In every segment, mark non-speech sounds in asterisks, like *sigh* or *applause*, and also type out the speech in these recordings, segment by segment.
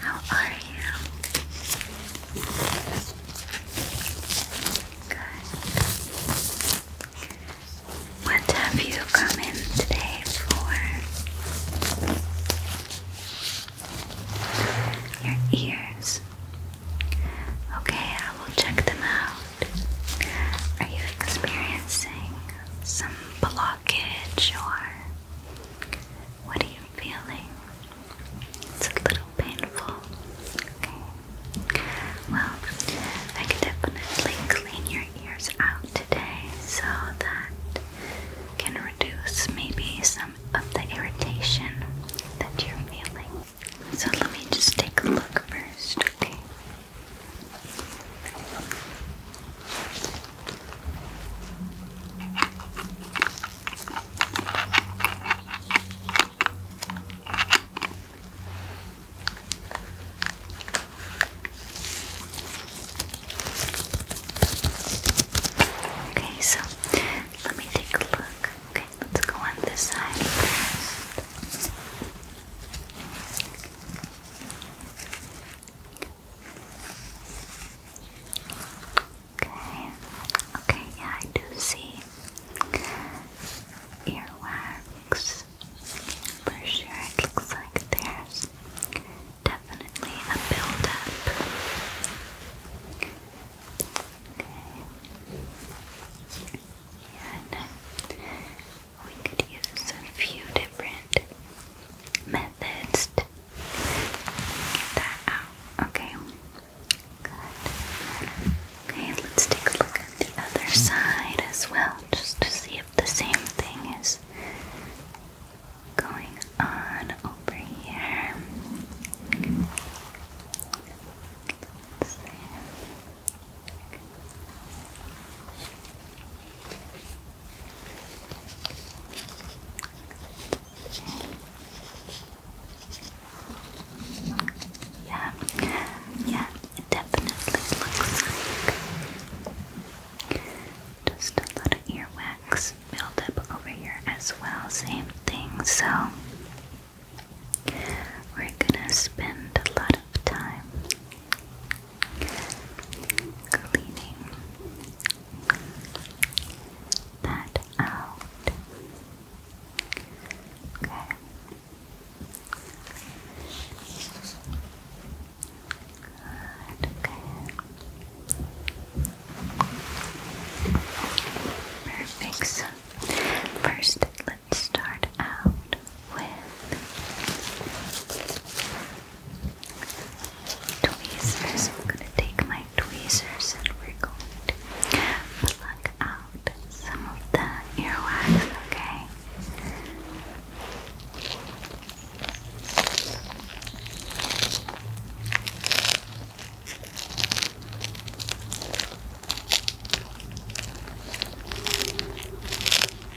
Hello How are you? Good. What have you come in today for? Your ears. Okay, I will check them out. Are you experiencing some blockage or what are you feeling? It's a little painful. Okay. Well, I can definitely clean your ears out today so that can reduce maybe some of the irritation that you're feeling. So let me just take a look first, okay? Okay, so let me take a look. Okay, let's go on this side Okay. Okay, yeah, I do see earwax for sure. It looks like there's definitely a buildup. Okay. And we could use a few different methods to get that out. Okay. Okay, let's take a look at the other side as well, just to see if the same thing is going on over here. Yeah, yeah, it definitely looks like just a lot of earwax built up over here as well. Same thing, so we're gonna spend a lot of time cleaning that out. Okay. Good, okay. Perfect. first, Let's start out with tweezers. I'm going to take my tweezers and we're going to pluck out some of the earwax, okay? Okay.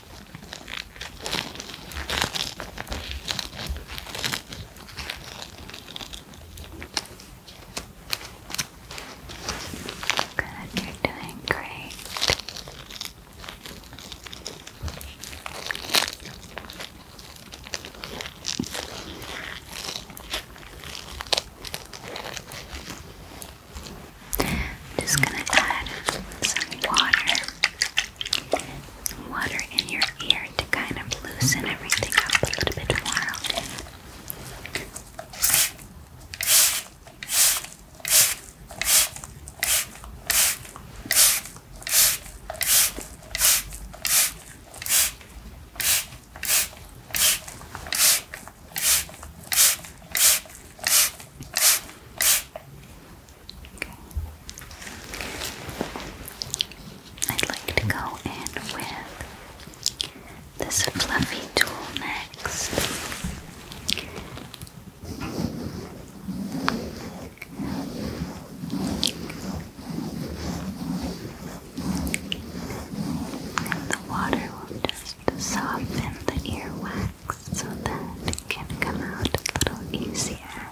Good, you're doing great. I'm just going to add some water water in your ear to kind of loosen everything up a little bit more, I'd like to go in with this fluffy tool next. the water will just soften the earwax so that it can come out a little easier.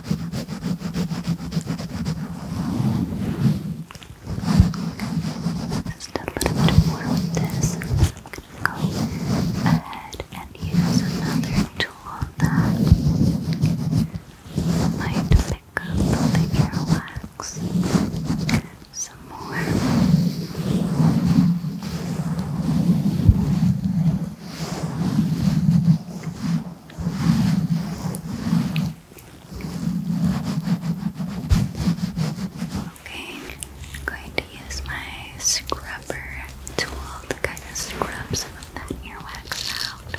Just a little bit more with this, I'm gonna go ahead and use another tool that might pick up the some more. Okay, I'm going to use my scrubber tool to kind of scrub some of that earwax out.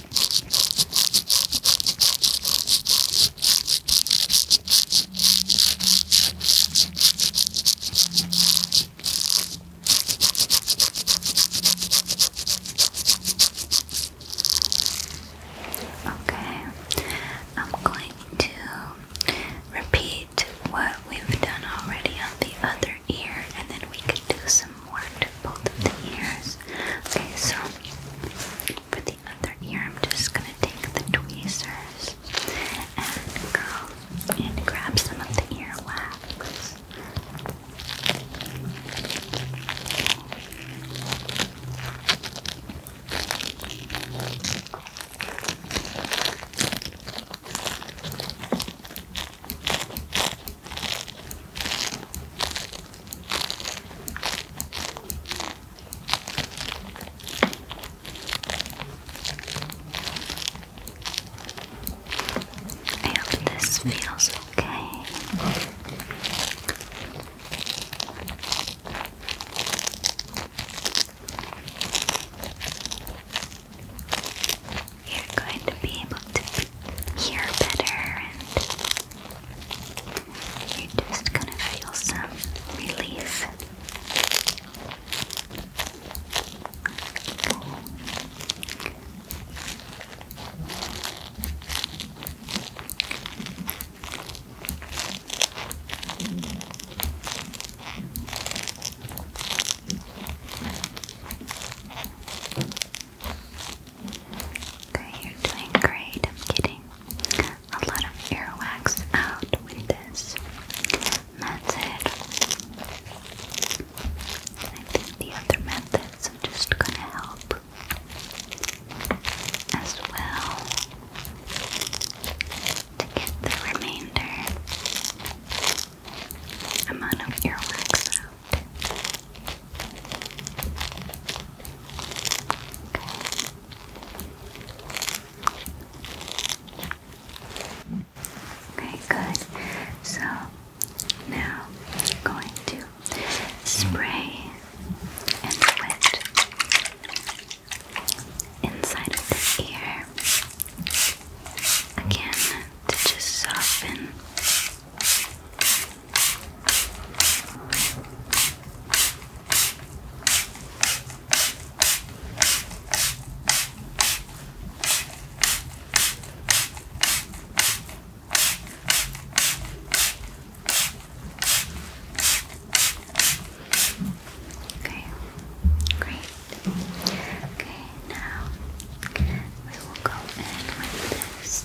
Okay, I'm going to repeat what we've done already on the other ear, and then we can do some some both the ears. Okay, so for the other ear, I'm just gonna take the tweezers and go and grab some of the earwax. Okay, I this feels okay you're going to be able to hear better and you're just going to feel some relief. Okay, you're doing great. I'm getting a lot of earwax out with this method. I think the other methods are just gonna help as well to get the remainder amount of earwax Okay, good. So now I'm going to spray and wet inside of the ear again to just soften Okay, great. Okay, now we will go in with this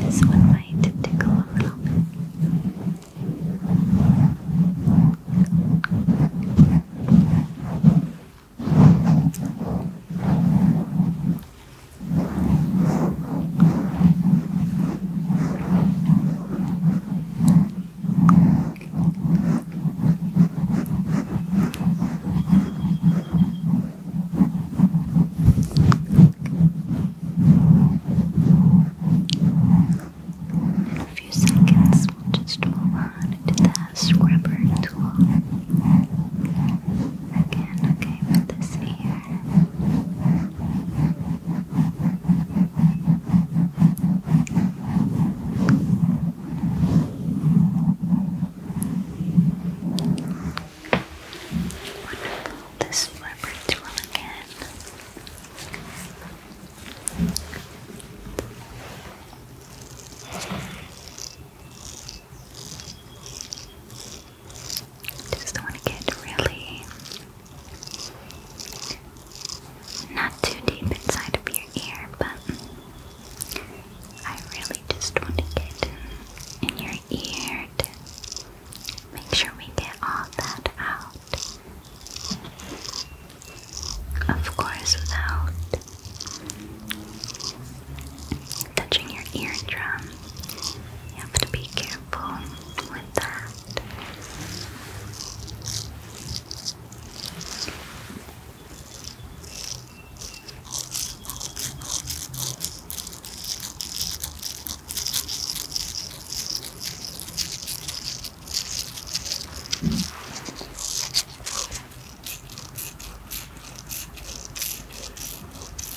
This one might tickle a little bit. In a few seconds, we'll just roll on to the scrubber tool. Again, okay, with this ear. Wonderful. This leopard's will again. Good. Just want to get really not too deep inside of your ear, but I really just want to get in, your ear to make sure we get all that out. Of course, without touching your eardrum. You have to be careful with that.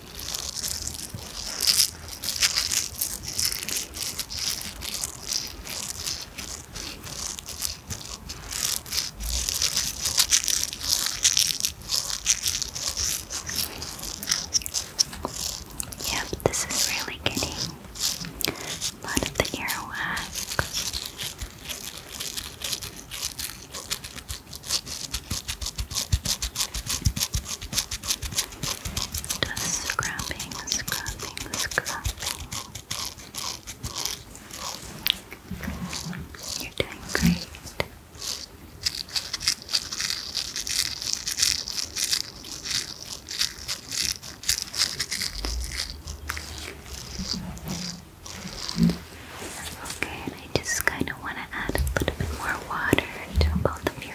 Yep, this is really getting a lot of the earwax. Just scrubbing, scrubbing, scrubbing. You're doing great. Okay, and I just kind of want to add a little bit more water to both of your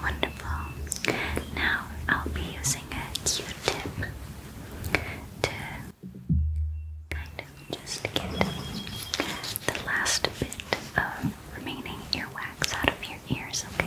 Wonderful. Now I'll be using a Q-tip to kind of just get the last bit of remaining earwax out of your ears, okay?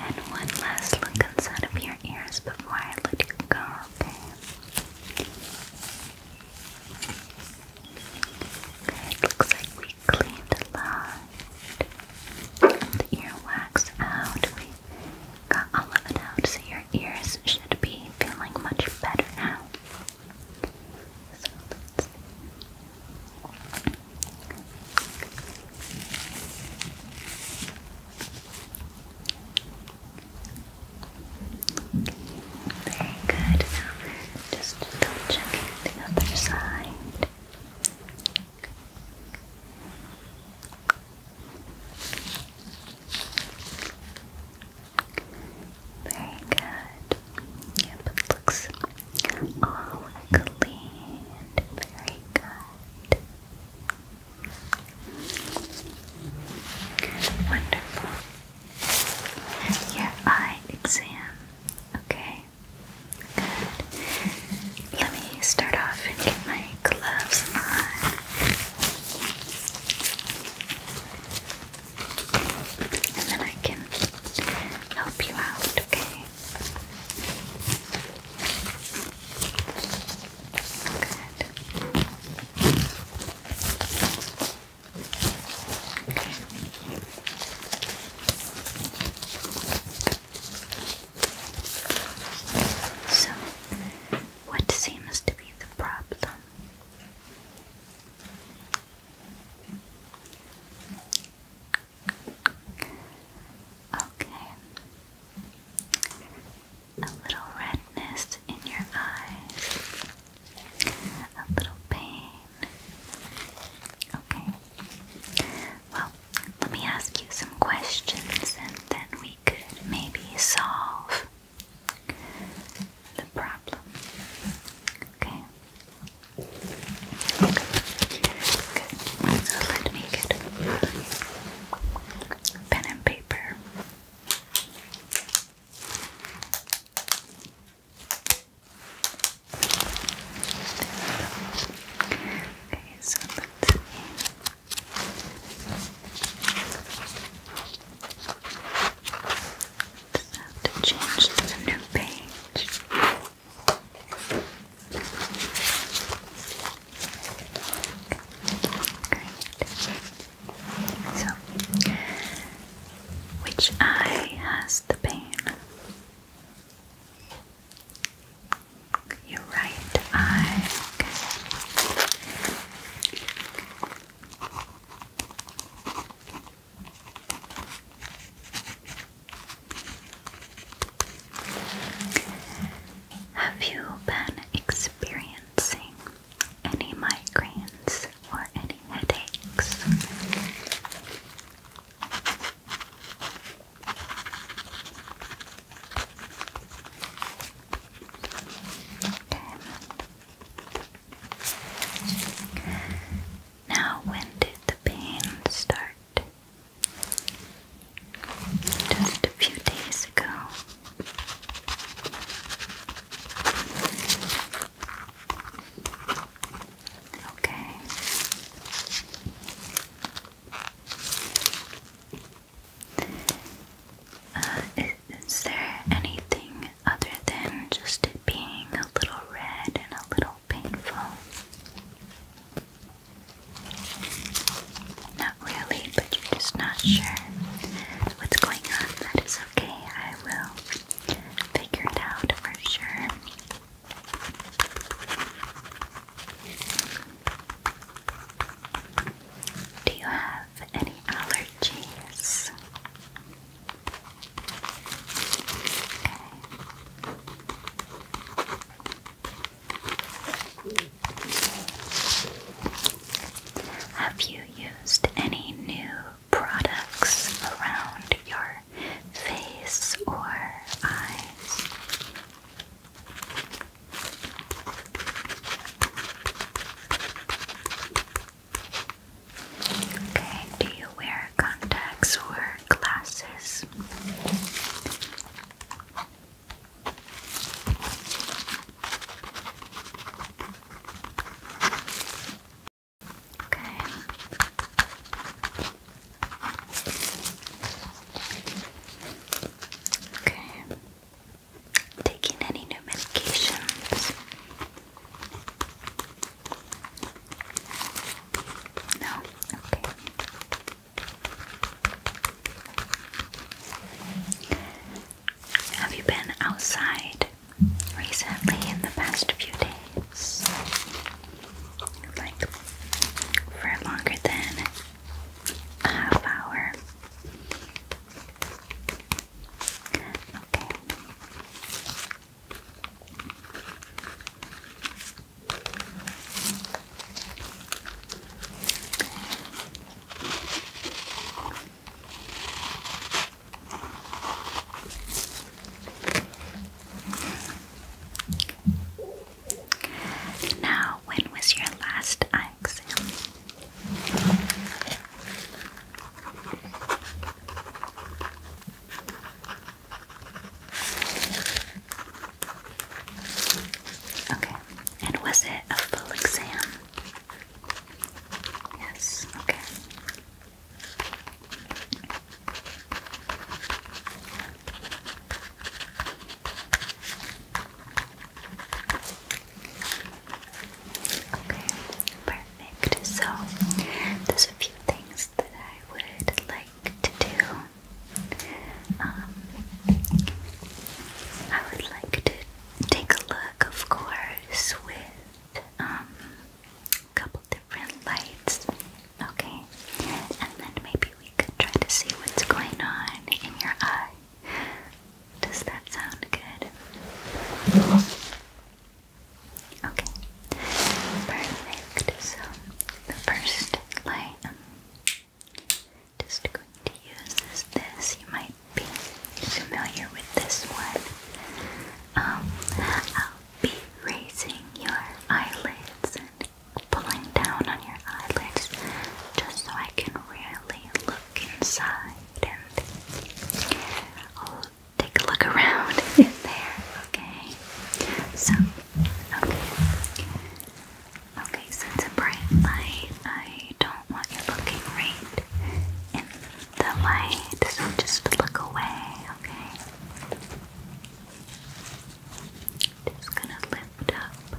And one last look inside of your ears before I let you go, okay? Good, looks like we cleaned a lot. The earwax out, we got all of it out, so your ears should be feeling much better now. Okay, very good. just double checking the other side. Very good. Yep, looks all clean. Very good. Wonderful. Your eye exam. Okay. Good. Let me start off and get my gloves on. And then I can help you out, okay? So, what seems to be the problem? Okay a little redness in your eyes, a little pain. Okay. Well, let me ask you some questions and then we could maybe solve the problem. Okay. Okay. Good. let me get pen and paper. Okay, so let's see. to change to the new page. So, which eye has the pain? Your right eye. Have you been experiencing any migraines or any headaches. Now, when did the pain start? Just a few days ago. Okay. Uh, is, there anything other than just it being a little red and a little painful? not really, but you're just not sure what's going on. That is okay. I will figure it out for sure. Do you have any allergies? Have you used any new products around your face or eyes? Okay, do you wear contacts or glasses? Okay. Okay. Taking any new medications? No? Okay. Have you been outside recently in the past few days? Like for longer than a half hour? Okay. Now, when was your last exam? Okay, and was it a full exam? Yes, okay. Okay, perfect. So, there's a few things that I would like to do. Um, I would like to take a look, of course, with um, a couple different lights. Okay, and then maybe we could try to see what's going on in your eye. Does that sound good? Okay, perfect. So the first light. Um, just going to use is this. You might be familiar with this one. Um, I'll be raising your eyelids and pulling down on your eyelids just so I can really look inside and I'll take a look around *laughs* in there, okay? So, okay. Okay, since it's a bright light, I don't don't want you looking right in the light, so just look away, okay? Just gonna lift up your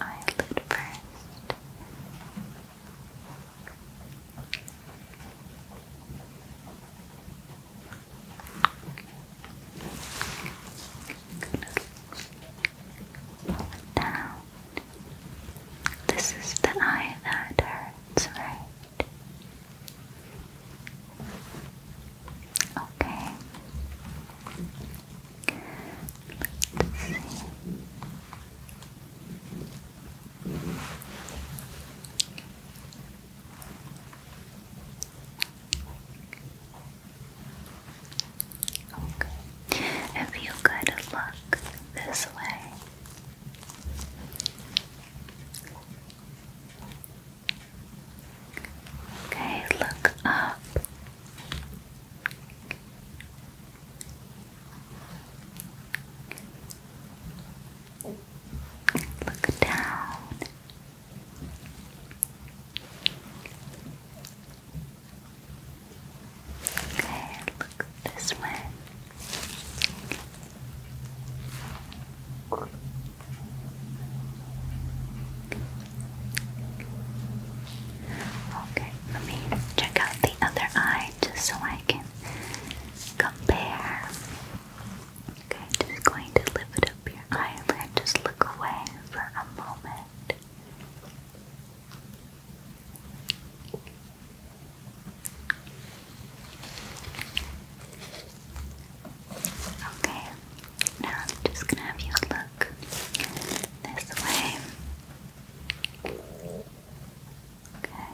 eyelid 1st down. This is the eye that hurts, right? Okay. Let's see. Okay. If you could look this way. Okay, look up. Look down. Okay, look at this one. Okay, let me check out the other eye just so I can compare. Okay, just going to lift up your eyelid, just look away for a moment it. Okay, now I'm just gonna have you look this way. Okay.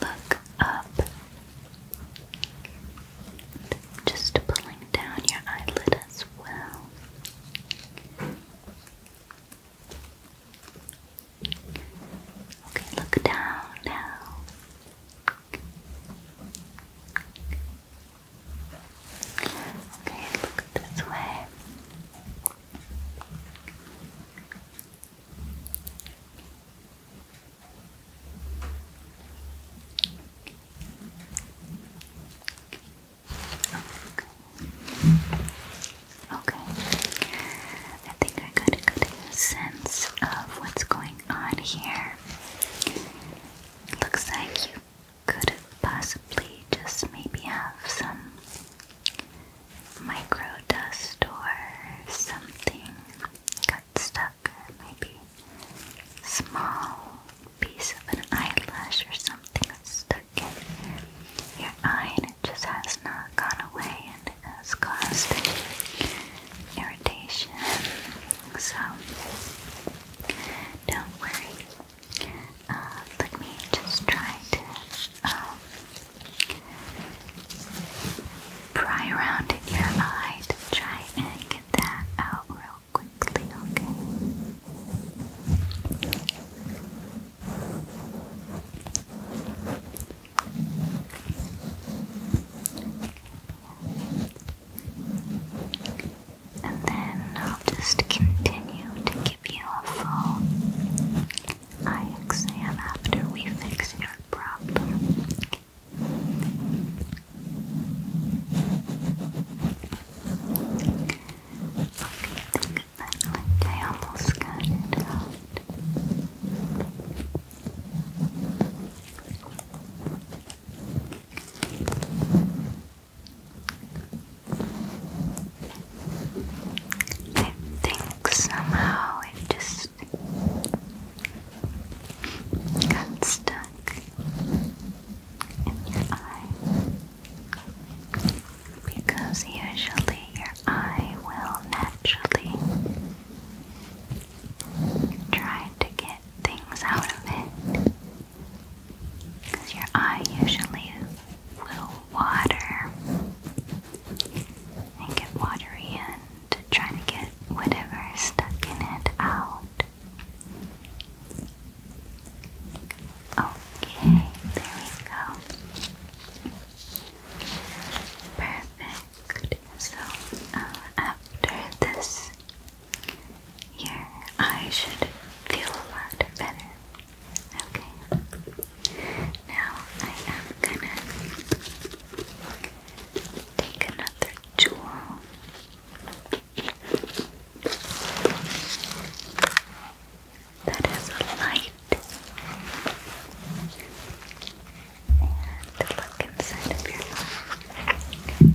Look up. Just pulling down your eyelid as well. Okay, look down now. Okay, look this way. Okay. I think I got a good sense of what's going on here. looks like you could possibly just maybe have some micro dust or something got stuck, maybe small piece of an eyelash or something got stuck in your eye and it just has not gone away and it has caused irritation. So don't worry. Uh, let me just try to um, Pry around your eye try and get that out real quickly, okay? And then I'll just continue to give you a full eye exam after we fix your problem. I almost got it I think somehow it just Oops. Got stuck in your eye. Because usually your eye will naturally try to get things out of it. Because your eye usually will water and get watery and try to get whatever is stuck in it out. Okay, there we go. Perfect. So uh, after this, your eye should feel a lot better. Okay. Now I am gonna take another jewel. That is a light. And look inside of your mouth. Let's do this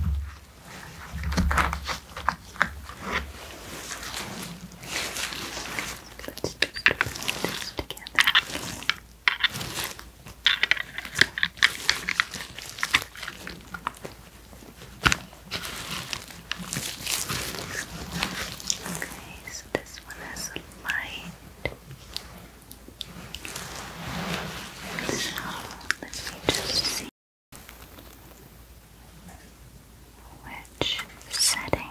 together. Okay, so this one has a light. So let me just see which setting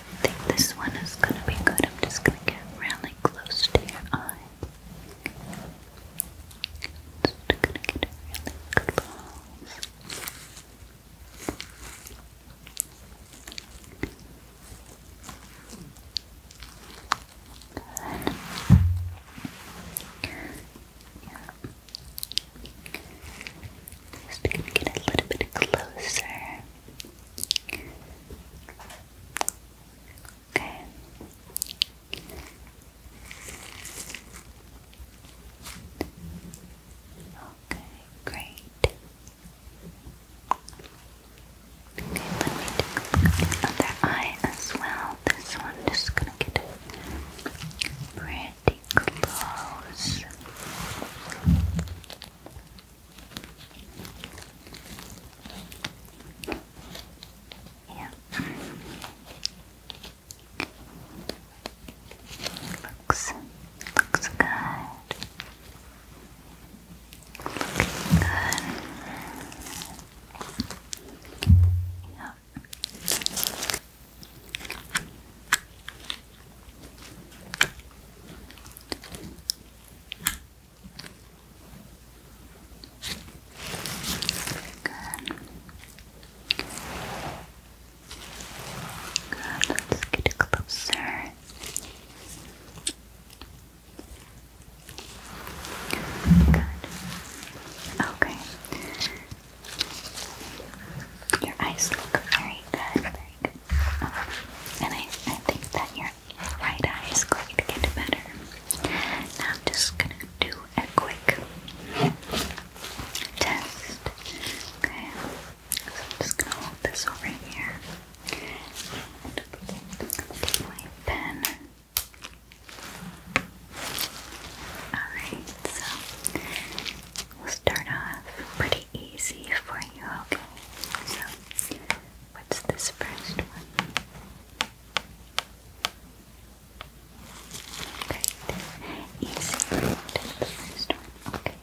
I think this one is gonna be good. I'm just gonna get really close to your eye. Just gonna get really close. Just gonna get a little bit closer. Okay. Okay, great. Okay, let me do the other eye as well. This one i gonna get pretty close. Yeah. Looks looks good. Looking good. Yeah. Good, let's get closer. Good. Okay. Your eyes look very good, very good. And I, think that your right eye is going to get better. Now I'm just going to do a quick test. Okay. So I'm just going to hold this over here. And take my pen. Alright, so we'll start off pretty easy for you, okay? So that's this first one? Great. Easy the first one. Okay.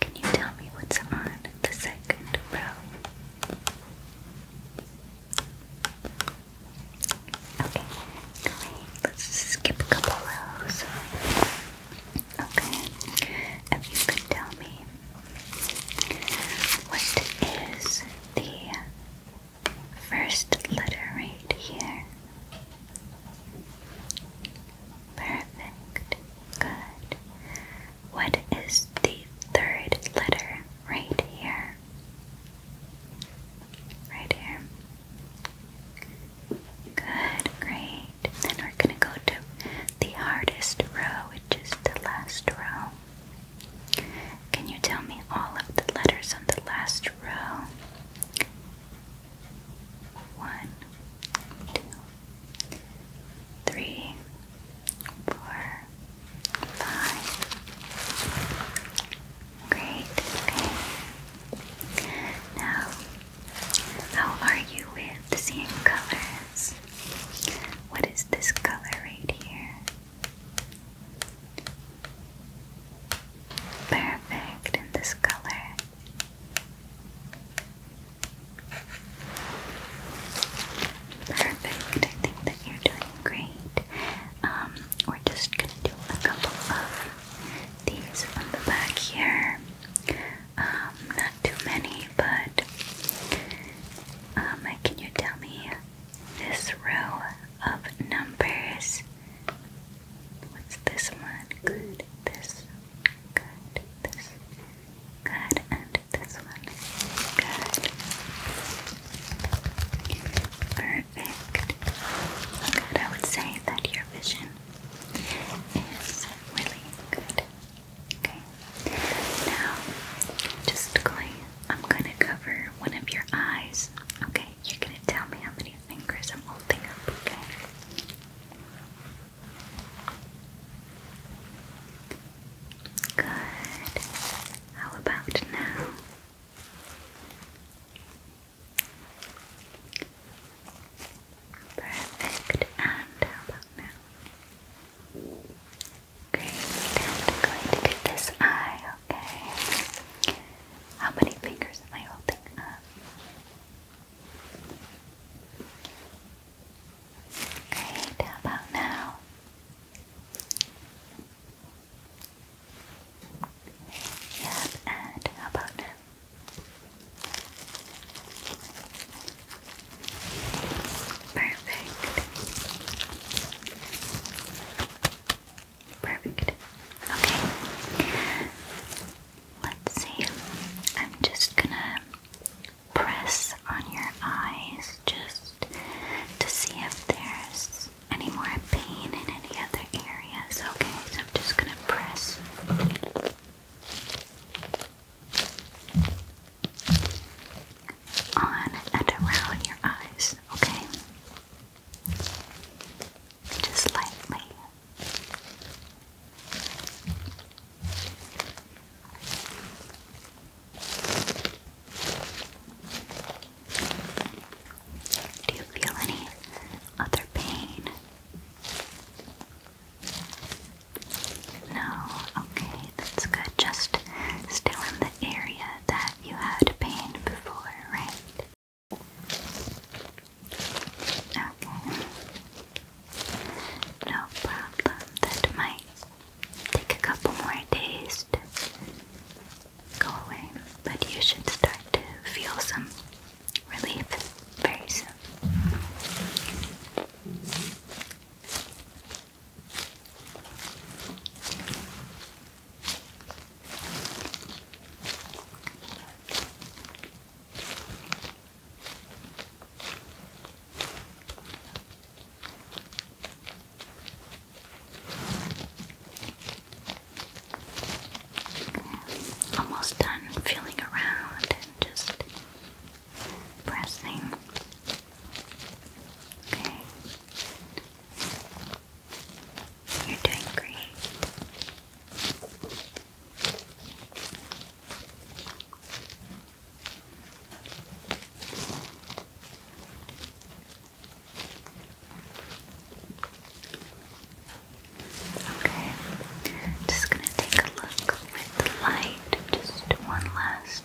Can you tell me what's on the second row? Okay, Let's skip a couple rows. Okay. If you could tell me what is the first letter right here? Perfect. Good. What is the third letter right here? Right here. Good, great then we're going to go to the hardest row, which is the last row. Can you tell me all of the letters on the last row? One, two, three, four, five. Great, okay. Now, how are you with seeing colors? What is this color right here? Perfect in this color. Perfect. I think that you're doing great. Um, we're just gonna do a couple of these on the back here. Um, not too many, but um, can you tell me this row of numbers? What's this one? Good. This. Good. This. Good. And this one. Good. Perfect. Good. I would say that your vision is really good. Okay. Now, just going, I'm going to cover one of your eyes. Okay. You're going to tell me how many fingers I'm holding up. Okay. Good. How about now? Perfect. And how about now? Great, going to get this eye, okay? How many fingers am I holding up? Great, how about now? Yep, and how about now? Perfect. Perfect. Okay. Let's see. I'm just gonna press on your eyes just to see if there's any more pain in any other areas. Okay, so I'm just gonna press on and around your eyes, okay? Just lightly. Do you feel any other pain? No, okay, that's good. Just still in the area that you had pain before, right? Okay. No problem. That might take a couple more days to go away, but you should start to feel some relief very soon. Almost done feeling around and just pressing. Okay. You're doing great. Okay, just gonna take a look with the light, just one last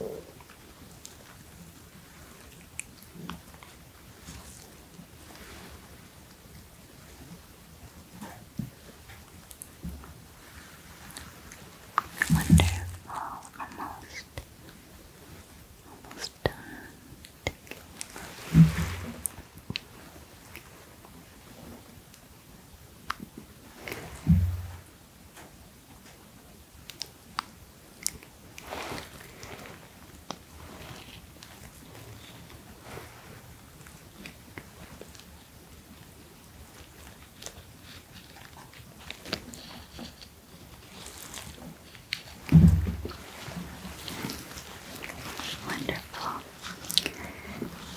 Wonderful, almost, almost done. Wonderful.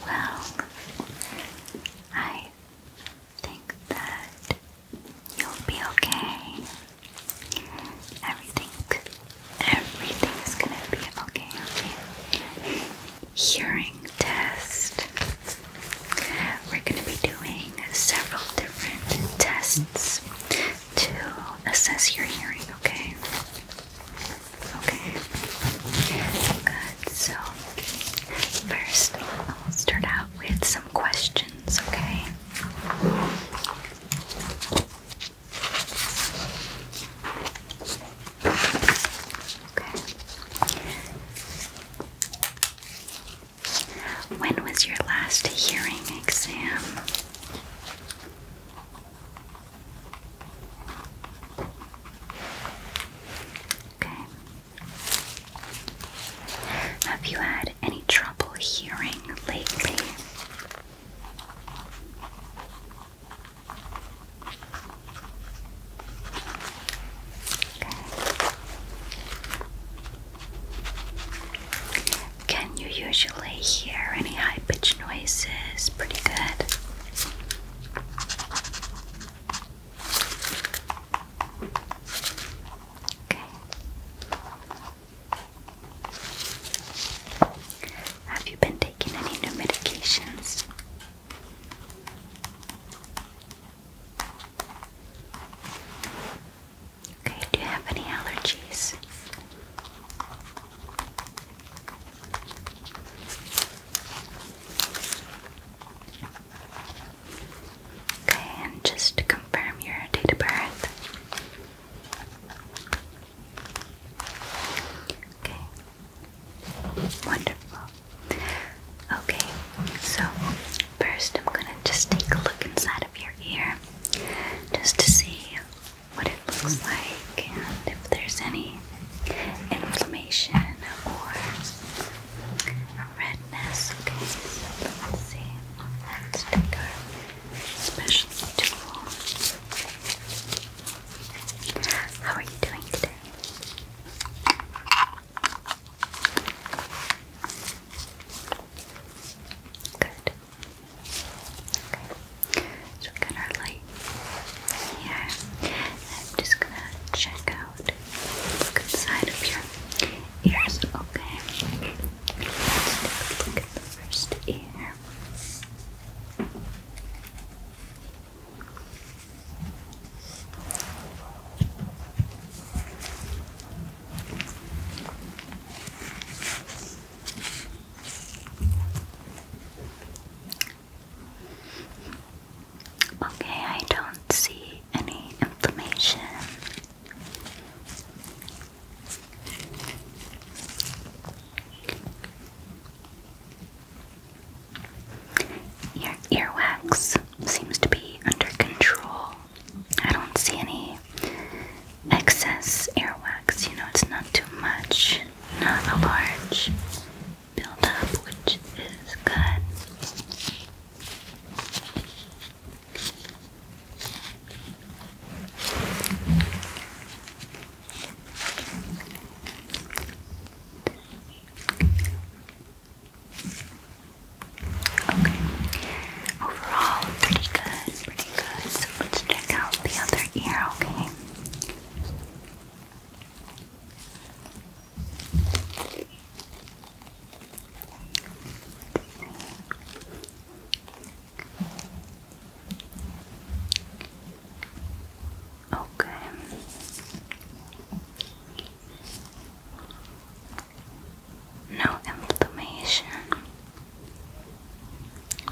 Well, I think that you'll be okay. Everything, everything is gonna be Okay. Hearing test. We're gonna be doing several different tests to assess your hearing. Okay. Okay. Good. So, first, I'll start out with some questions, okay? Okay. When was your last hearing exam? Okay. Have you had any trouble hearing lately? Can you usually hear any high pitched noises? Pretty good. Okay. Have you been taking any new medications? Okay, do you have any allergies? Okay, and just to confirm your date of birth. Okay, wonderful. Okay, so first I'm gonna just take a look inside of your ear just to see what it looks like and if there's any inflammation or redness. Okay, let's take our special tool. How are you doing today? Good. Okay. So we got our light here. I'm just gonna check out good side of your ears, okay? Let's take a look at the first ear. Okay, I don't see any inflammation. Your earwax seems to be under control. I don't see any excess earwax, you know, it's not too much, not a large buildup, which is good. Okay. Overall, pretty good, pretty good. So let's check out the other ear, okay? Okay. No inflammation.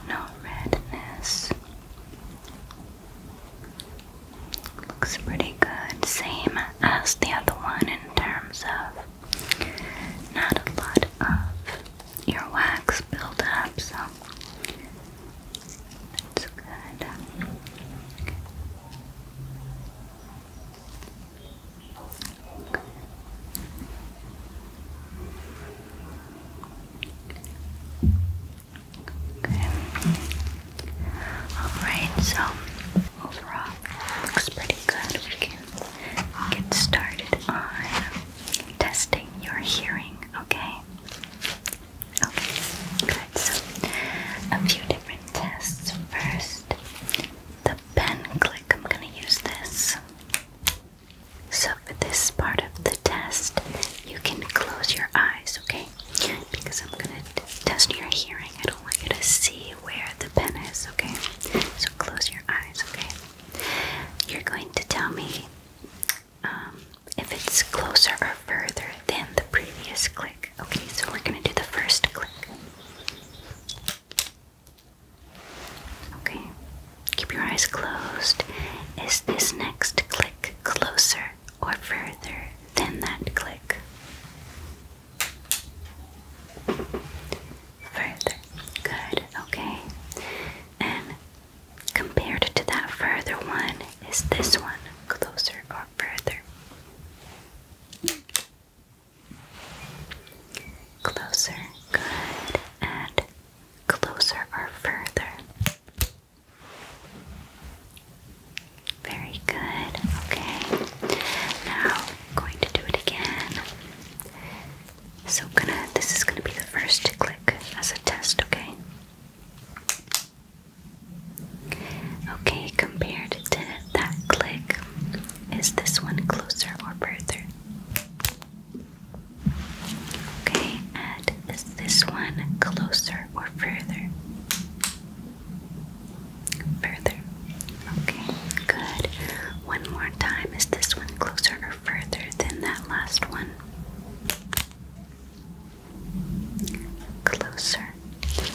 No redness. Looks pretty good, same as the other one in terms of not a lot of earwax built up, so that's good. Okay. Alright, so overall looks pretty good. We can get started on testing your hearing, okay? Okay, good. So a few different tests first. The pen click, I'm gonna use this. So, for this part of the test, you can close your eyes, okay? Because I'm gonna test your hearing. I don't want you to see where the pen is, okay? So close your eyes, okay? You're going to tell me um, if it's closer or further than the previous click. Okay, so we're gonna do the first click. Okay, keep your eyes closed. Is this next click closer or further than that click? Further. Good. Okay. And compared to that further one, is this one closer or further? Closer. Good. And closer or further? Very good. Okay. Now going to do it again. So gonna this is gonna be the first click as a test, okay? Okay, compared to that click, is this one closer or further? Okay, and is this one closer or further? Further. Okay, good. One more time. Is this one closer or further than that last one? Closer. Okay.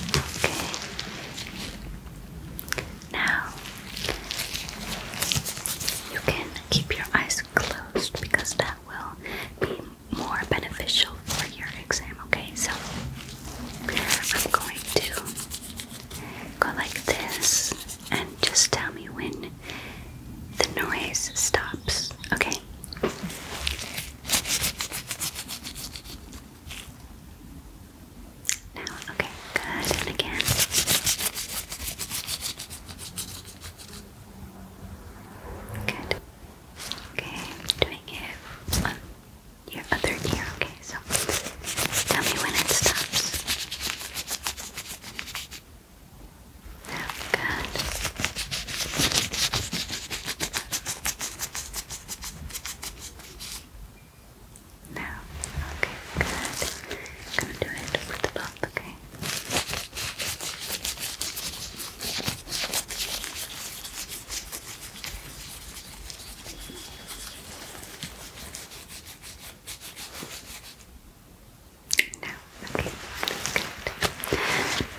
Now, you can keep your eyes closed because that will be more beneficial for your exam, okay? So I'm going to go like this and just tell me when the noise stops, okay? Now, okay, good, and again. Good. Okay, doing it your other ear, okay? So tell me when it stops. Oh, good. No. Okay, good. I'm gonna do it with the bump, okay? okay,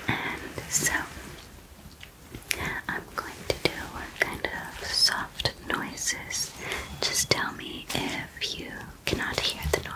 And so I'm going to do kind of soft noises. Just tell me if you cannot hear the noise.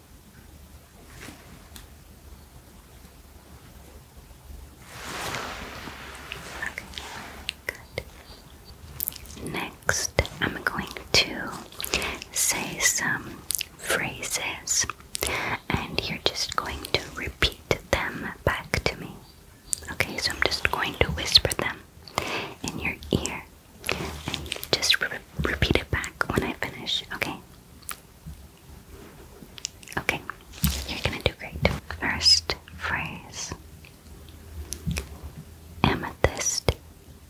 Okay, good. Next, I'm going to say some phrases, and you're just going to repeat them back to me. Okay, so I'm just going to whisper them in your ear just repeat it back when I finish, okay? Okay, you're gonna do great. First phrase Amethyst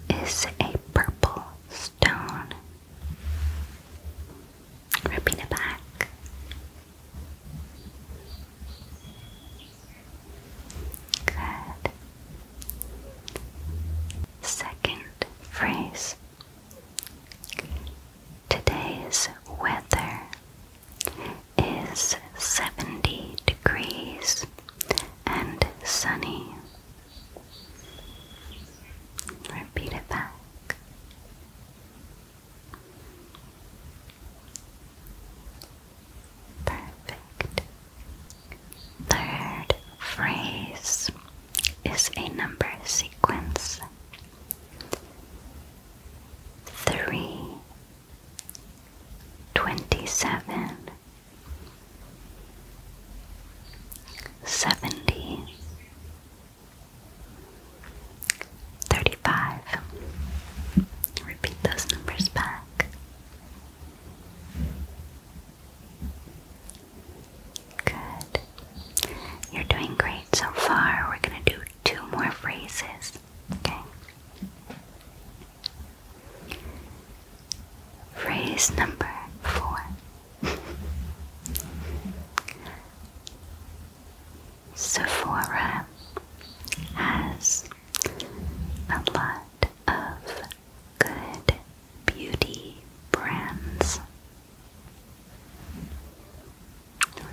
is a purple stone. Repeat it back. Good. Second phrase Today's weather is 70 degrees and sunny. Repeat it back. Perfect. Third phrase is a number sequence. Three, twenty-seven, seventy, thirty-five. Repeat those numbers back. Good. You're doing great so far. We're going to do two more phrases. Okay. Phrase number four. *laughs* Sephora has a lot of good beauty brands.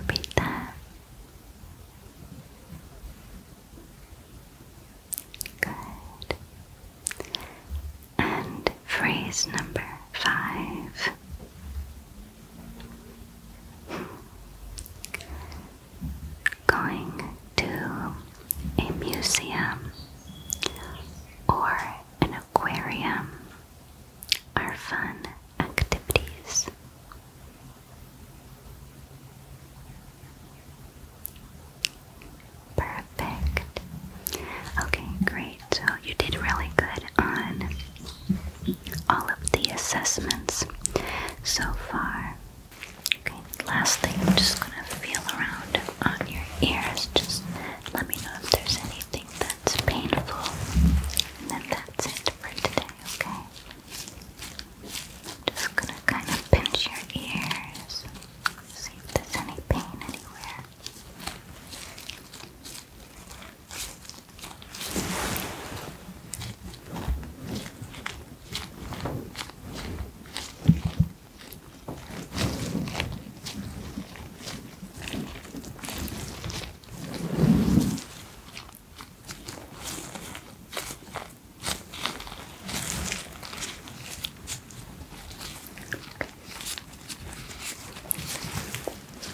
Repeat that. Good. And phrase number five. Going to a museum or an aquarium are fun activities. Perfect. Okay, great. So you did really good on all of the assessments so far. Okay, last thing, I'm just going to feel around on your ears. Just let me know if there's anything that's painful. And then that's it for today, okay? just gonna kind of pinch your ears, see if there's any pain anywhere.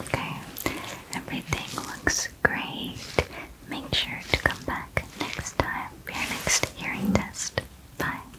Okay, everything looks great. Make sure to come back next time for your next hearing test. Bye.